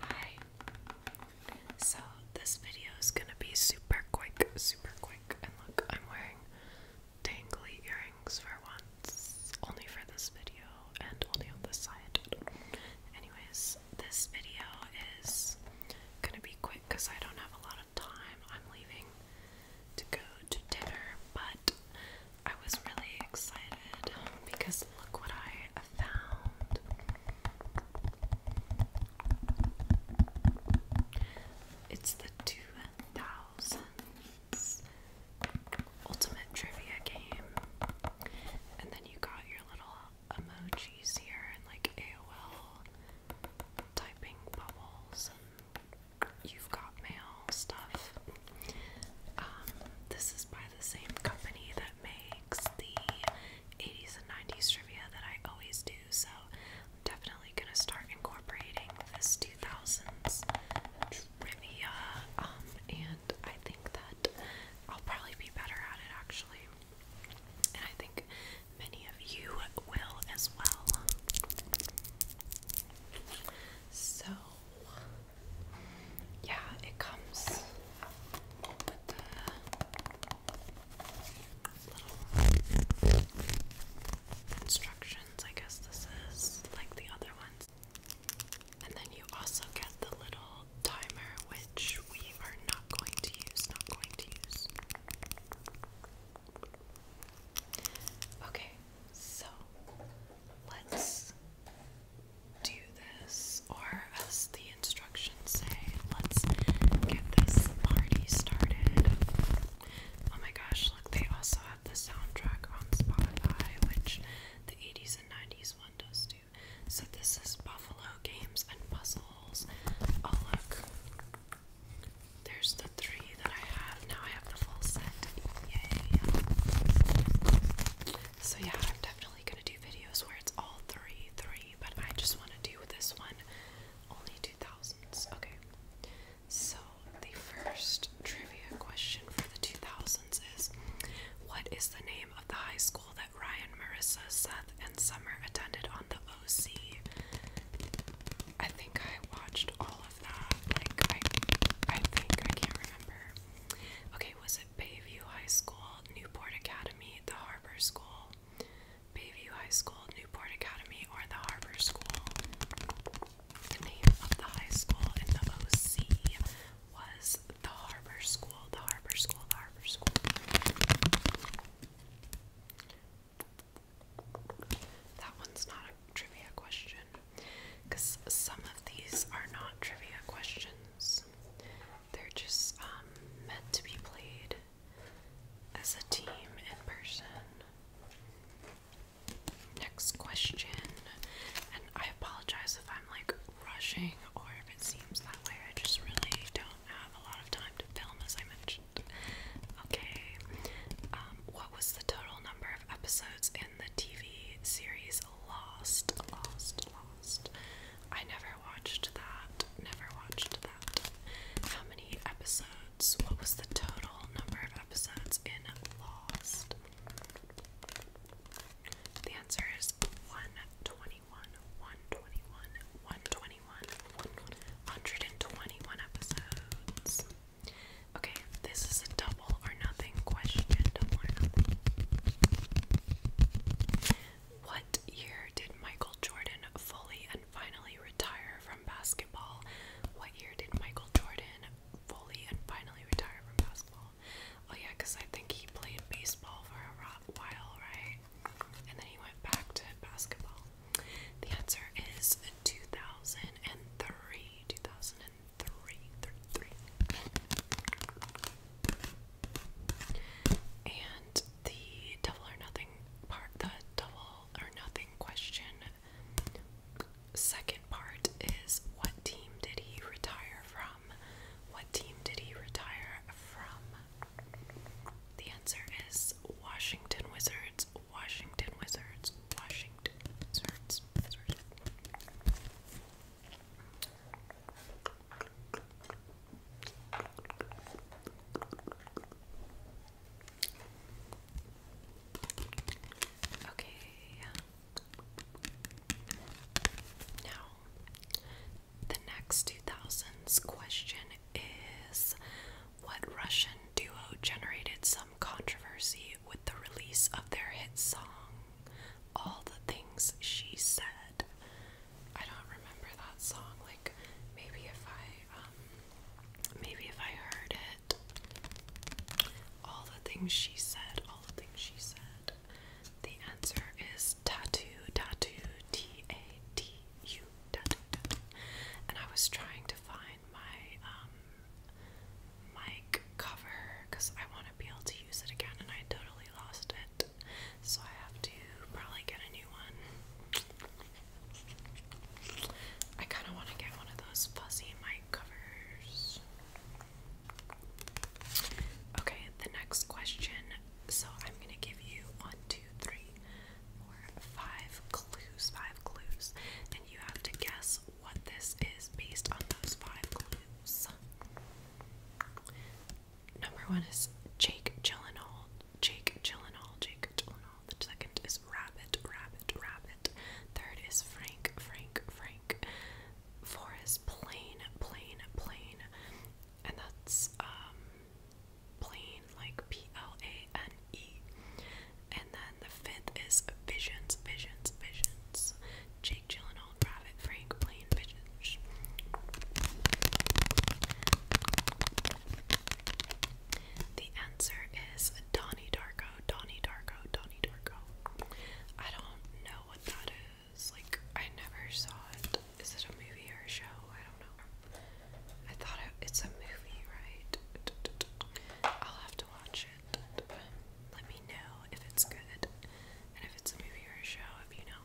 Hi. So this video is gonna be super quick, super quick. And look, I'm wearing dangly earrings for once. Only for this video and only on this side. Anyways, this video is gonna be quick because I don't have a lot of time. I'm leaving to go to dinner, but I was really excited because look what I found. It's the 2000s Ultimate Trivia game. And then you got your little emojis here and like AOL typing bubbles You've Got Mail stuff. Um, this is by the same company that makes the 80s and 90s trivia that I always do, so I'm definitely going to start incorporating this 2000s trivia. Um, and I think that I'll probably be better at it actually. And I think many of you will as well. So, yeah, it comes with the little instructions. I guess this is like the other ones. And then you also get the little timer, which we are not going to use, not going to use. Okay, so let's do this, or as the instructions say, let's get this party started. Oh my gosh, look, they also have the soundtrack on Spotify, which the 80s and 90s one does too. So this is Buffalo Games and Puzzles. Oh look. There's the three that I have. Now the So yeah, I'm definitely gonna do videos where it's all three, three, but I just wanna do this one only two thousands. Okay. So the first trivia question for the two thousands is what is the name of the high school that Ryan, Marissa, Seth, and Summer attended on the OC? think I watched all of that. Like I I think I can't remember. Okay, was it Bayview High School, Newport Academy, the Harbor School? Bayview High School, Newport Academy, or the Harbor School? The name of the high school in the OC was the Harbor School, the Harbor School, the Harbor School. That one's not a trivia question because some of these are not trivia questions. They're just um, meant to be played as a team in person. Next question, and I apologize if I'm like rushing or if it seems that way. I just really don't have a lot of time to film, as I mentioned. Okay, um, what was the total number of episodes in the TV series Lost, Lost, Lost. I never watched that. Never watched that. How many episodes? What was the total number of episodes in Lost? The answer is 121, 121, 121, 121 episodes. Okay, this is a double or nothing question. Double or nothing. What year did Michael Jordan fully and finally retire from basketball? What year did Michael Jordan fully and finally retire from basketball? Oh, yeah, because I think he played baseball for a while, right? And then he went back to basketball. The answer is 2003. 2003 three, three, three. And the double or nothing part, the double or nothing question, second part is what team did he retire from? What team did he retire from? The answer is Washington Wizards, Washington Wizards, Washington Wizards, Wizards. Okay. Now, the next 2000s question is What Russian duo generated some controversy with the release of their hit song? all the things she said. I don't remember that song. Like maybe if I um, maybe if I heard it. All the things she said, all the things she said. The answer is tattoo, tattoo, T A T U, tattoo, tattoo. And I was trying to find my um, mic cover because I want to be able to use it again and I totally lost it. So I have to probably get a new one. I kind of want to get one of those fuzzy mic covers. Okay, the next question. So I'm going to give you one, two, three, four, five clues, five clues, and you have to guess what this is based on those five clues. Number one is Jake Gyllenhaal. Jake Gyllenhaal. Jake Gyllenhaal. The second is Rabbit. Rabbit. Rabbit. Third is Frank. Frank. Frank. Fourth is Plain. Plain. Plain. And that's um, Plain like P L A N E. And then the fifth is Visions. Visions. Visions. Jake Gyllenhaal. Colonel Private The answer is Donny Darko, Donny Darko, Donny Darko. I don't know what that is. Like, I never saw it. Is it a movie or a show? I don't know. I thought it's a movie, right? I'll have to watch it. Let me know if it's good and if it's a movie or a show, if you know.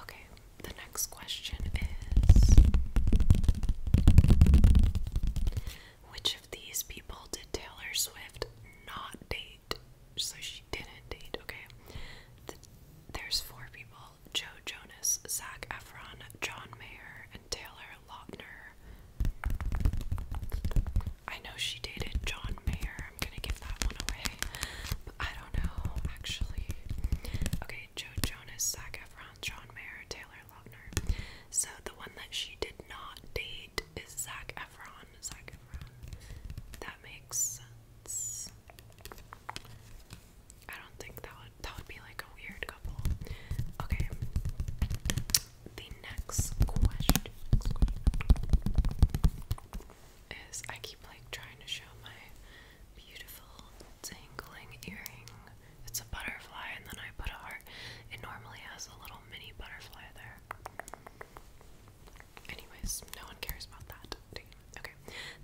Okay, the next question is Which of these people did Taylor Swift not date? So she didn't date, okay? there's four people Joe Jonas, Zach Efron, John Mayer, and Taylor Lautner. I know she dated John Mayer. I'm gonna give that one away. But I don't know, actually. Okay, Joe Jonas, Zac Efron, John Mayer, Taylor Lautner. So the one that she did not date is Zac Efron. That makes sense. I don't think that would that would be like a weird couple. Okay the next question, is I keep like trying to show my beautiful dangling earring. It's a butterfly, and then I put a heart. It normally has a little mini butterfly there. Anyways, no one cares about that. Okay.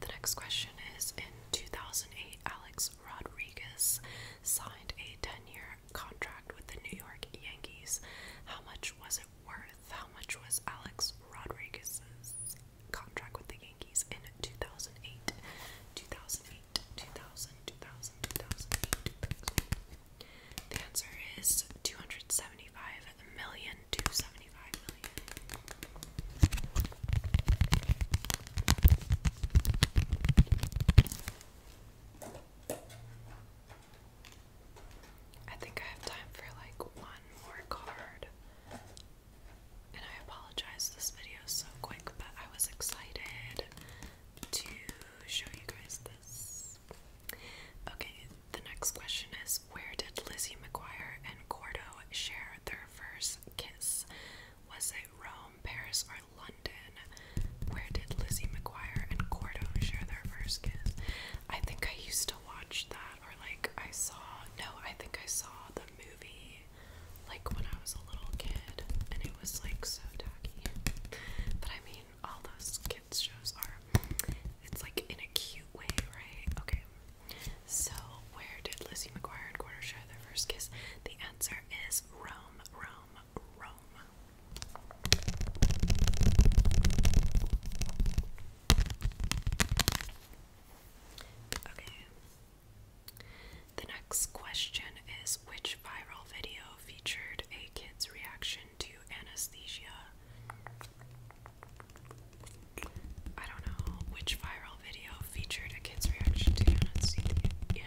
The next question is in 2008, Alex Rodriguez signed a 10 year, contract with the New York Yankees. How much was it worth? How much was Alex Rodriguez's contract with the Yankees in 2008? 2008, 2000, 2000, 2008, 2008. The answer is 275 million, 275 million. I think I have time for like one more card. And I apologize, this video is so quick, but I was excited to show you guys this. Okay, the next question is Where did Lizzie McGuire and Gordo share their first kiss? Was it Rome, Paris, or London? Where did Lizzie McGuire and Cordo share their first kiss? I think I used to watch that, or like I saw. No, I think I saw the movie like when I was a little kid, and it was like so tacky. But I mean, all those kids' shows are. It's like in a cute way, right? Okay. So, where did Lizzie McGuire and Corder share their first kiss? The answer is Rome, Rome, Okay. The next question is which viral video featured a kid's reaction to anesthesia? I don't know which viral video featured a kid's reaction to anesthesia.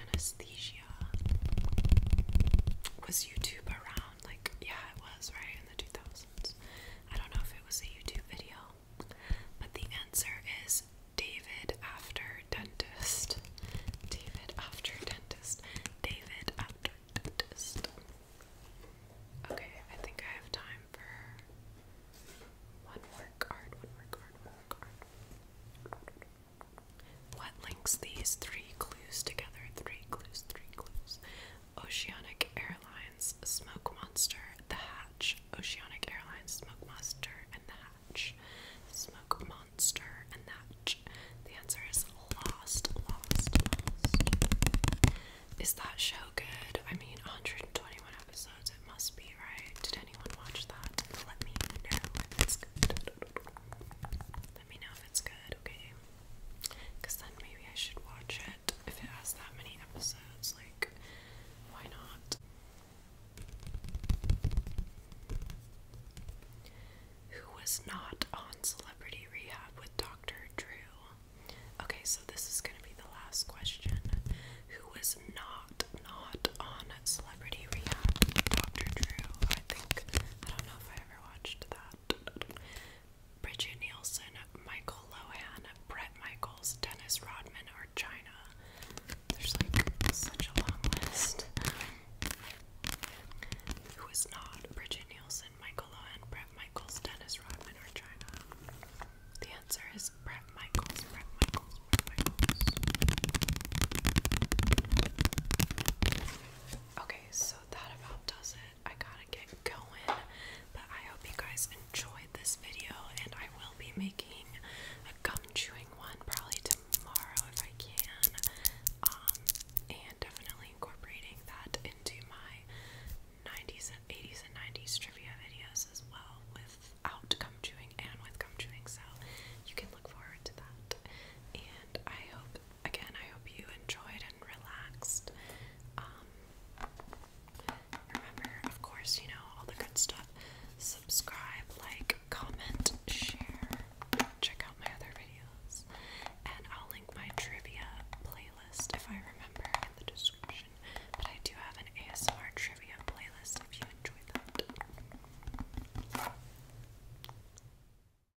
Was YouTube around like yeah it was right in the 2000s I don't know if it was a YouTube video but the answer is David after dentist David after dentist David after dentist okay I think I have time for one more card one more card one more card what links these three clues together? Three clues, three clues. Oceanic Airlines, Smoke Monster, The Hatch. Oceanic Airlines, Smoke Monster, and The Hatch. Smoke Monster, and The Hatch. The answer is Lost, Lost, Lost. Is that show good? I mean, 121 episodes, it must be, right? Did anyone watch that? Let me know let me know if it's good, okay? Because then maybe I should watch it if it has that many episodes. Like, why not? Who was not on Celebrity Rehab with Dr. Drew? Okay, so this is going to be the last question. Who was not not on Celebrity Rehab with Dr. Drew? I think I don't know if I ever watched that. Bridget Nielsen, Michael Lohan, Brett Michaels, Dennis Rodman, or China. There's like such a long list. Who is not Bridget Nielsen, Michael Lohan, Brett Michaels, Dennis Rodman, or China? The answer is Brett Michaels, Brett Michaels, Brett Michaels. Okay, so that about does it. I gotta get going, but I hope you guys enjoyed this video, and I will be making a gum chewing one probably tomorrow if I can, um, and definitely incorporating that into my 90s and 80s and 90s trivia videos as well, without gum chewing and with gum chewing. So you can look forward to that, and I hope again, I hope you enjoyed and relaxed. Um, remember, of course, you know, all the good stuff. Subscribe, like, comment, share. Check out my other videos. And I'll link my trivia playlist if I remember in the description. But I do have an ASMR trivia playlist if you enjoy that.